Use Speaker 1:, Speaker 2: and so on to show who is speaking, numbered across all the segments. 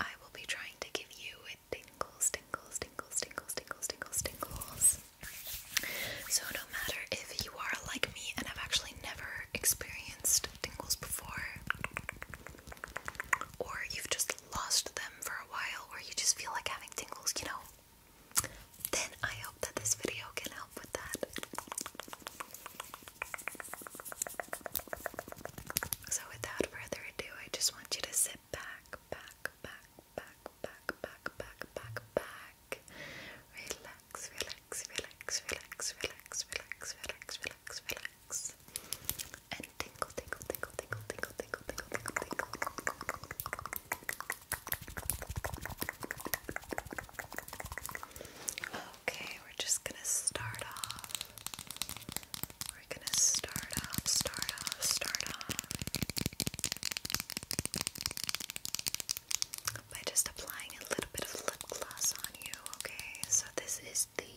Speaker 1: I will be trying to give you tingles, tingles, tingles, tingles, tingles, tingles, tingles. So, no matter if you are like me and have actually never experienced tingles before, or you've just lost them for a while, or you just feel like having tingles, you know, then I hope that this video can help with that. So, without further ado, I just want you to sit back, back, back, back, back, back, back, back, back. Relax, relax, relax, relax, relax, relax, relax, relax, relax. And tingle, tingle, tingle, tingle, tingle, tingle, tingle, tingle, tingle. Okay, we're just gonna start off we're gonna start off, start off, start off by just applying a little bit of lip gloss on you, okay? So, this is the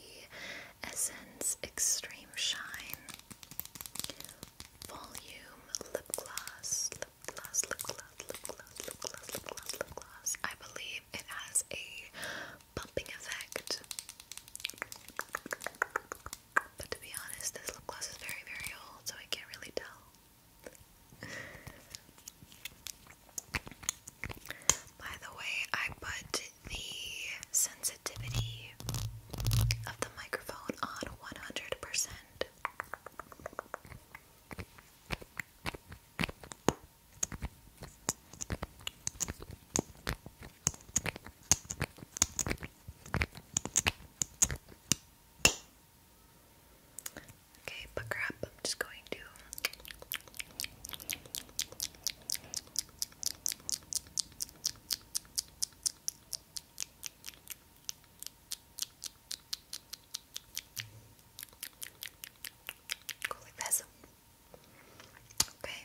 Speaker 1: Essence Extreme Shine Volume Lip Gloss, Lip Gloss, Lip Gloss, Lip Gloss, Lip Gloss, Lip Gloss, Lip Gloss. I believe it has a bumping effect. But to be honest, this lip gloss is very, very old, so I can't really tell. By the way, I put the sensitivity of the microphone on 100%. Okay, pucker I'm just going to go like this. Okay.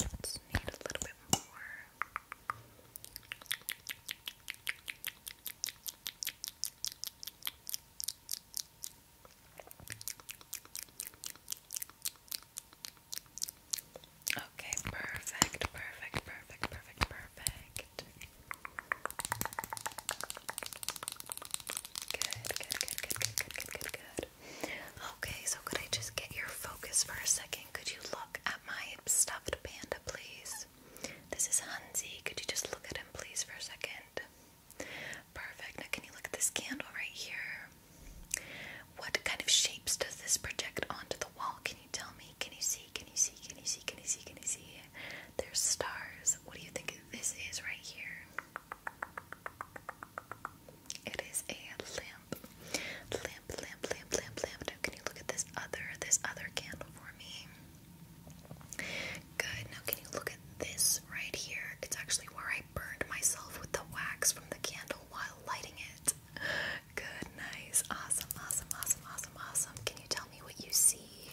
Speaker 1: Let's need a little bit more. Okay, perfect, perfect, perfect, perfect, perfect good, good, good, good, good, good, good, good. Okay, so could I just get your focus for a second? Could you look at my stuffed panda, please? This is Hansi. Could you just look at him, please, for a second? Perfect. Now, can you look at this candle right here? What kind of shapes does this project onto the wall? Can you tell me? Can you see? Can you see? Can you see? Can you see? Can you see? They're stars. What do you think this is right here? It is a lamp. Lamp, lamp, lamp, lamp, lamp. Now can you look at this other, this other candle for me? Good. Now can you look at this right here? It's actually where I burned myself with the wax from the candle while lighting it. Good, nice, awesome, awesome, awesome, awesome, awesome. Can you tell me what you see?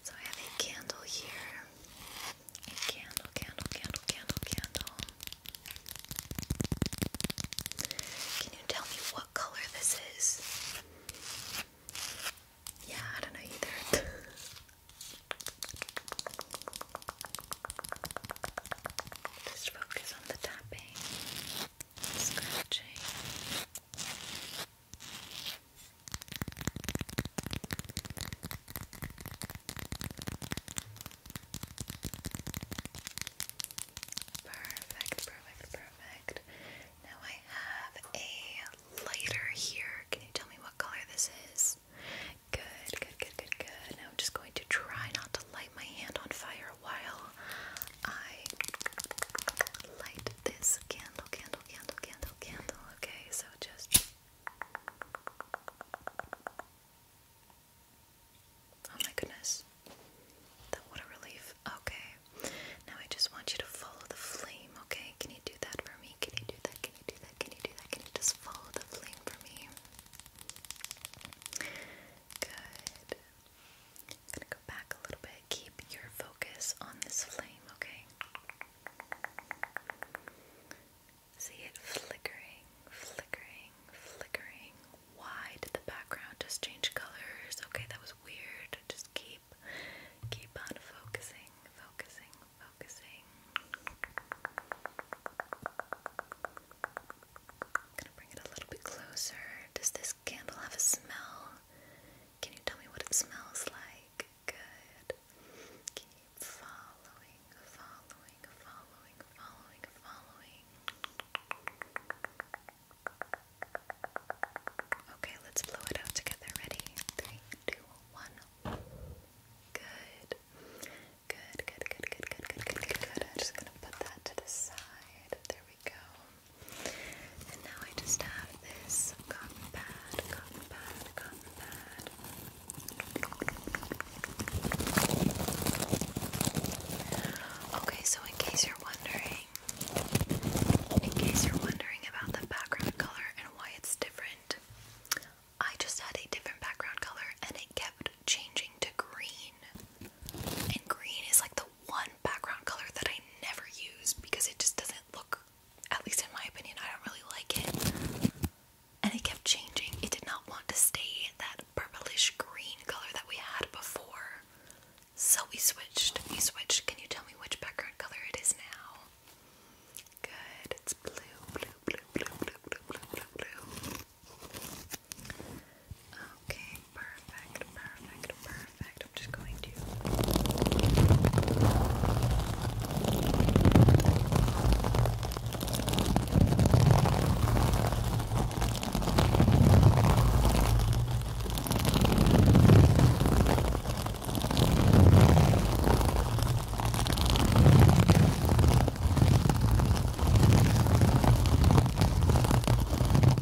Speaker 1: So I have a candle here. A candle, candle, candle, candle, candle. Can you tell me what color this is? Yeah, I don't know either. Just focus on the tapping, scratching. Perfect, perfect, perfect. Now I have a lighter here. Can you tell me what color this is? Good, good, good, good, good. Now I'm just going to try not to light my hand on fire while I light this candle, candle, candle, candle candle, okay? So just. Oh my goodness. That, what a relief. Okay. Now I just want you to follow the flame, okay? Can you do that for me? Can you do that? Can you do that? Can you do that? Can you just follow the flame for me? Good back a little bit. Keep your focus on this flame, okay? See it flickering, flickering, flickering. Why did the background just change colors? Okay, that was weird. Just keep keep on focusing, focusing, focusing. gonna bring it a little bit closer. Does this candle have a smell? Can you tell me what it smells like? good. Keep following, following, following, following, following. Okay, let's blow it out together. Ready? Three, two, one. Good, good, good, good, good, good, good, good. I'm just gonna put that to the side. There we go. And now I just have this Okay, so in case you're wondering, in case you're wondering about the background color and why it's different, I just had a different background color and it kept changing to green. And green is like the one background color that I never use because it just doesn't look at least in my opinion, I don't really like it. And it kept changing. It did not want to stay that purplish green color that we had before. So we switched. We switched. Can you tell me which background color it is now? Good. It's blue, blue, blue, blue, blue, blue, blue, blue, Okay, perfect, perfect. Perfect. I'm just going to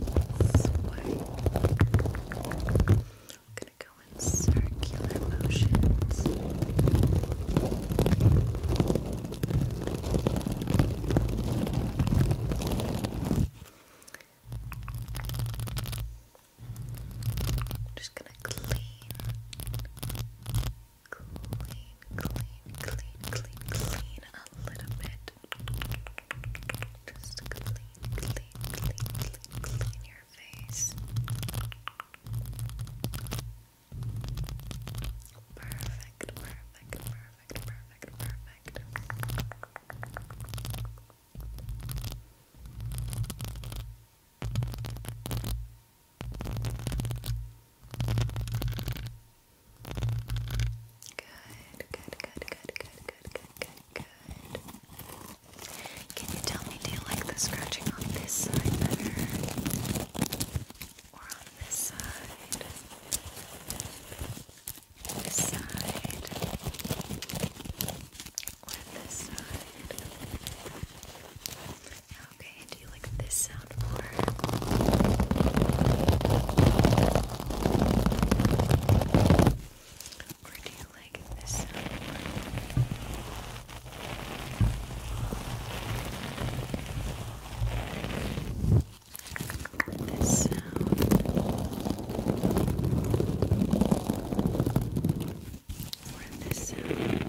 Speaker 1: I'm gonna go in circular motions. I'm just gonna clean, clean, clean, clean, clean, clean a little bit. Just clean, clean, clean, clean, your face. Perfect, perfect, perfect, perfect, perfect. good, good, good, good, good, good, good. Good. Can you tell me, do you like the scratching on this side better? Or on this side? This side? Or this side? Okay, do you like this sound more? Or do you like this sound more? This sound. Or this sound.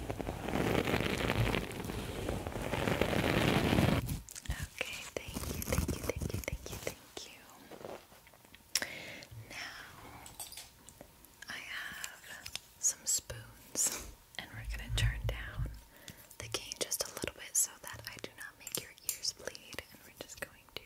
Speaker 1: Okay, thank you, thank you, thank you, thank you, thank you. Now I have some spoons and we're gonna turn down the gain just a little bit so that I do not make your ears bleed and we're just going to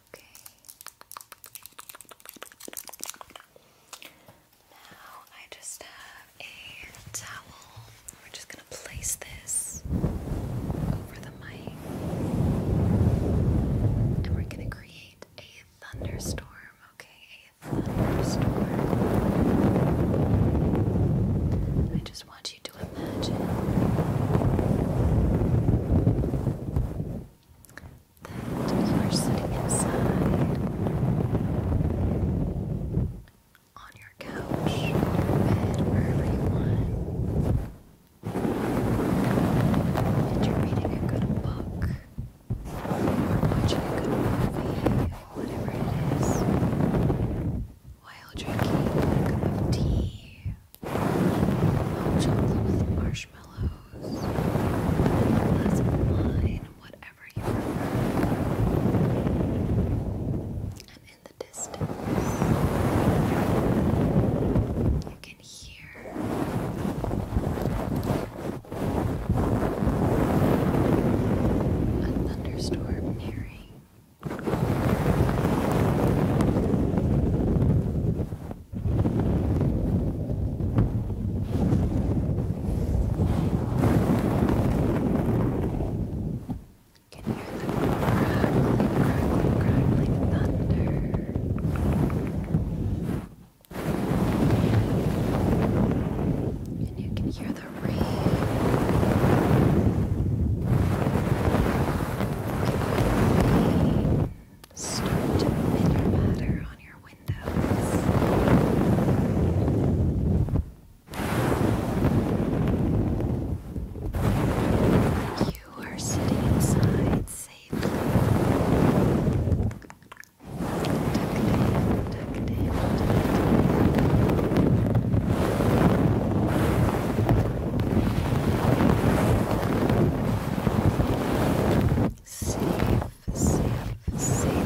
Speaker 1: Okay. Now I just have a towel. We're just gonna place this over the mic. And we're gonna create a thunderstorm. Okay, a thunderstorm. I just want you to imagine that you are sitting inside on your couch, your bed, wherever you want. And you're reading a good book, or watching a good movie, whatever it is, while drinking a cup of tea, hot chocolate with marshmallows marshmallows, a glass of wine, whatever you prefer. And in the distance, you can hear a thunderstorm nearing. Can hear the crackling, crackling, thunder. And you You can hear the rain start to your matter on your windows. you are sitting inside safely. Tuck it in, tuck safe, safe, safe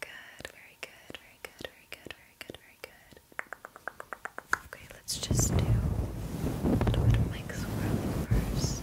Speaker 1: Good, very good, very good, very good, very good, very good. Okay, let's just do a little bit of mic swirling first.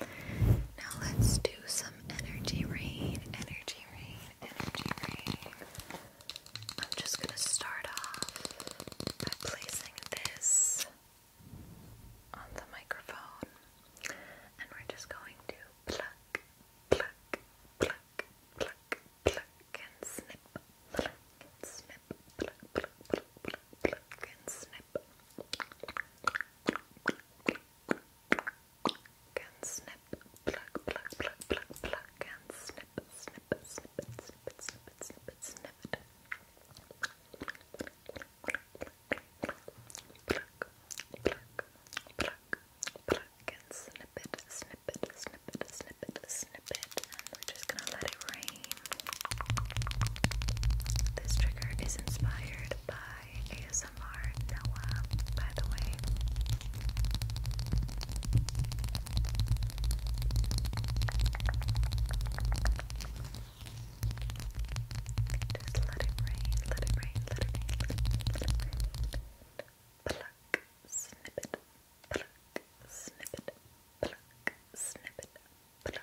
Speaker 1: Now let's do some energy rain, energy rain, energy rain. I'm just gonna start off by placing this on the microphone and we're just going to pluck, pluck, pluck, pluck, pluck and snip, pluck and snip, pluck, pluck, pluck, pluck, pluck and snip and snip, pluck, pluck, pluck, pluck, pluck, and snip, snip, snip, snip, snip, snip, snip, snip we're just gonna let it rain. This trigger is inspired by ASMR Noah, by the way. Just let it rain, let it rain, let it rain, let it rain, let it rain. Pluck, snippet, pluck, snippet, pluck, pluck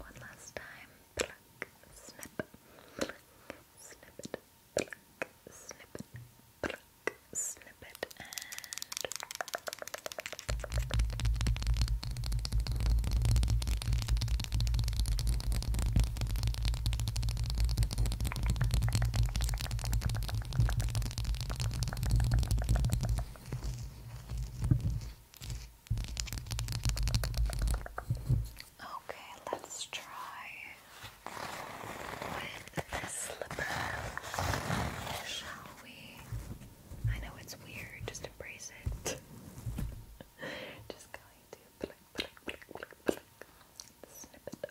Speaker 1: One last time. Pluck, snip, pluck, snip it, pluck, snip it, pluck, snip it, and Okay, let's try with this slipper, shall we? I know it's weird, just embrace it. just going to pluck, pluck, pluck, pluck, pluck. snip it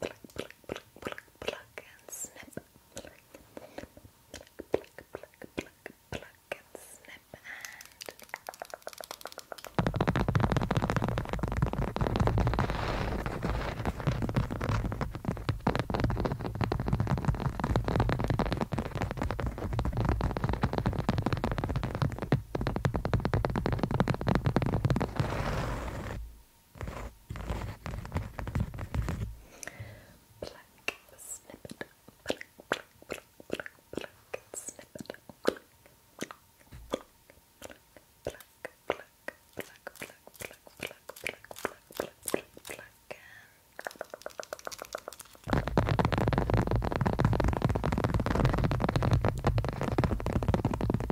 Speaker 1: pluck, pluck, pluck, pluck, pluck, and snip. Pluck, pluck, pluck, pluck, pluck, pluck, and snip. And Black snippet. Black, black, black, black, black snippet. Black, black, black, black, black, black, black, black, black, black, black, black. And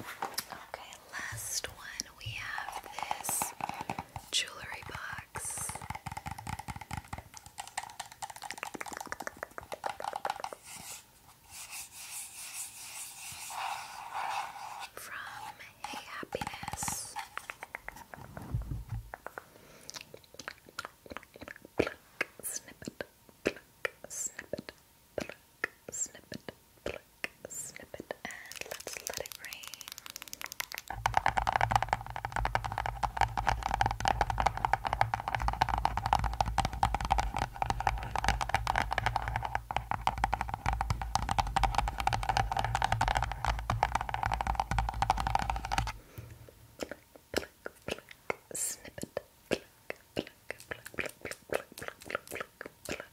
Speaker 1: Okay, last one we have this jewelry box. From Hey Happiness pluck, snippet, pluck, snippet, and let's let it rain. Pluck, pluck, pluck, snippet, pluck, pluck, pluck, pluck, pluck, pluck, pluck, pluck, pluck, pluck, pluck,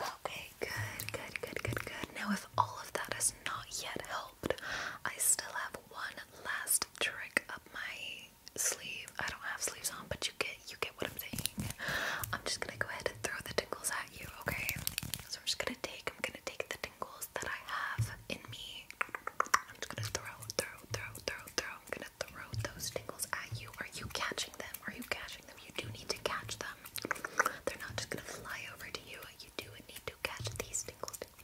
Speaker 1: Okay, good, good, good, good, good. Now, if all of that has not yet helped, I still have one last trick up my sleeve. I don't have sleeves on, but you get you get what I'm saying. I'm just gonna go ahead and throw the tingles at you, okay? So I'm just gonna take I'm gonna take the tingles tools that I have in me. I'm just gonna throw, throw, throw, throw, throw. I'm gonna throw those tingles at you. Are you catching them? Are you catching them? You do need to catch them. They're not just gonna fly over to you. You do need to catch these tingles. Tingles,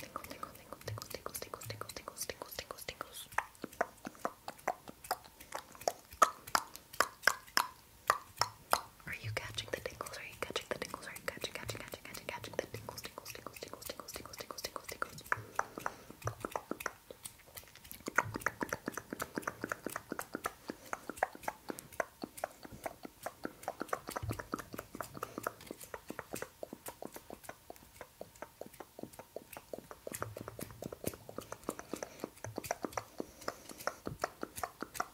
Speaker 1: tingles, tingles, tingles, tingles, tingles, tingles, tingles, tingles, tingles, tingles, tingles. Tingles, are you catching the tingles? Are you catching the tingles? Are you catching, catching, catching, catching, catching the tingles, tingles, tingles, tingles, tingles, tingles, tingles, tingles, tingles?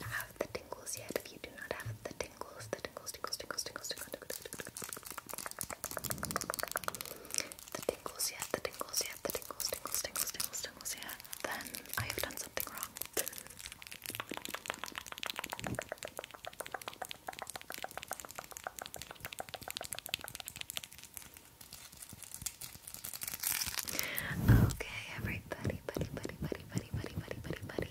Speaker 1: don't have the tingles yet, if you do not have the tingles, the tingles, tingles, tingles, tingles, tingles, tingles, the tingles yet, the tingles yet, the tingles, tingles, tingles, tingles, tingles yet, then I have done something wrong. Okay, everybody, buddy, buddy, buddy, buddy, buddy, buddy, buddy, buddy.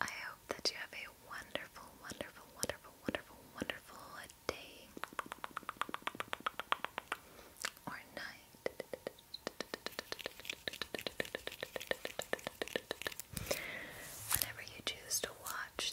Speaker 1: I hope that you have a wonderful, wonderful, wonderful, wonderful, wonderful day or night. Whenever you choose to watch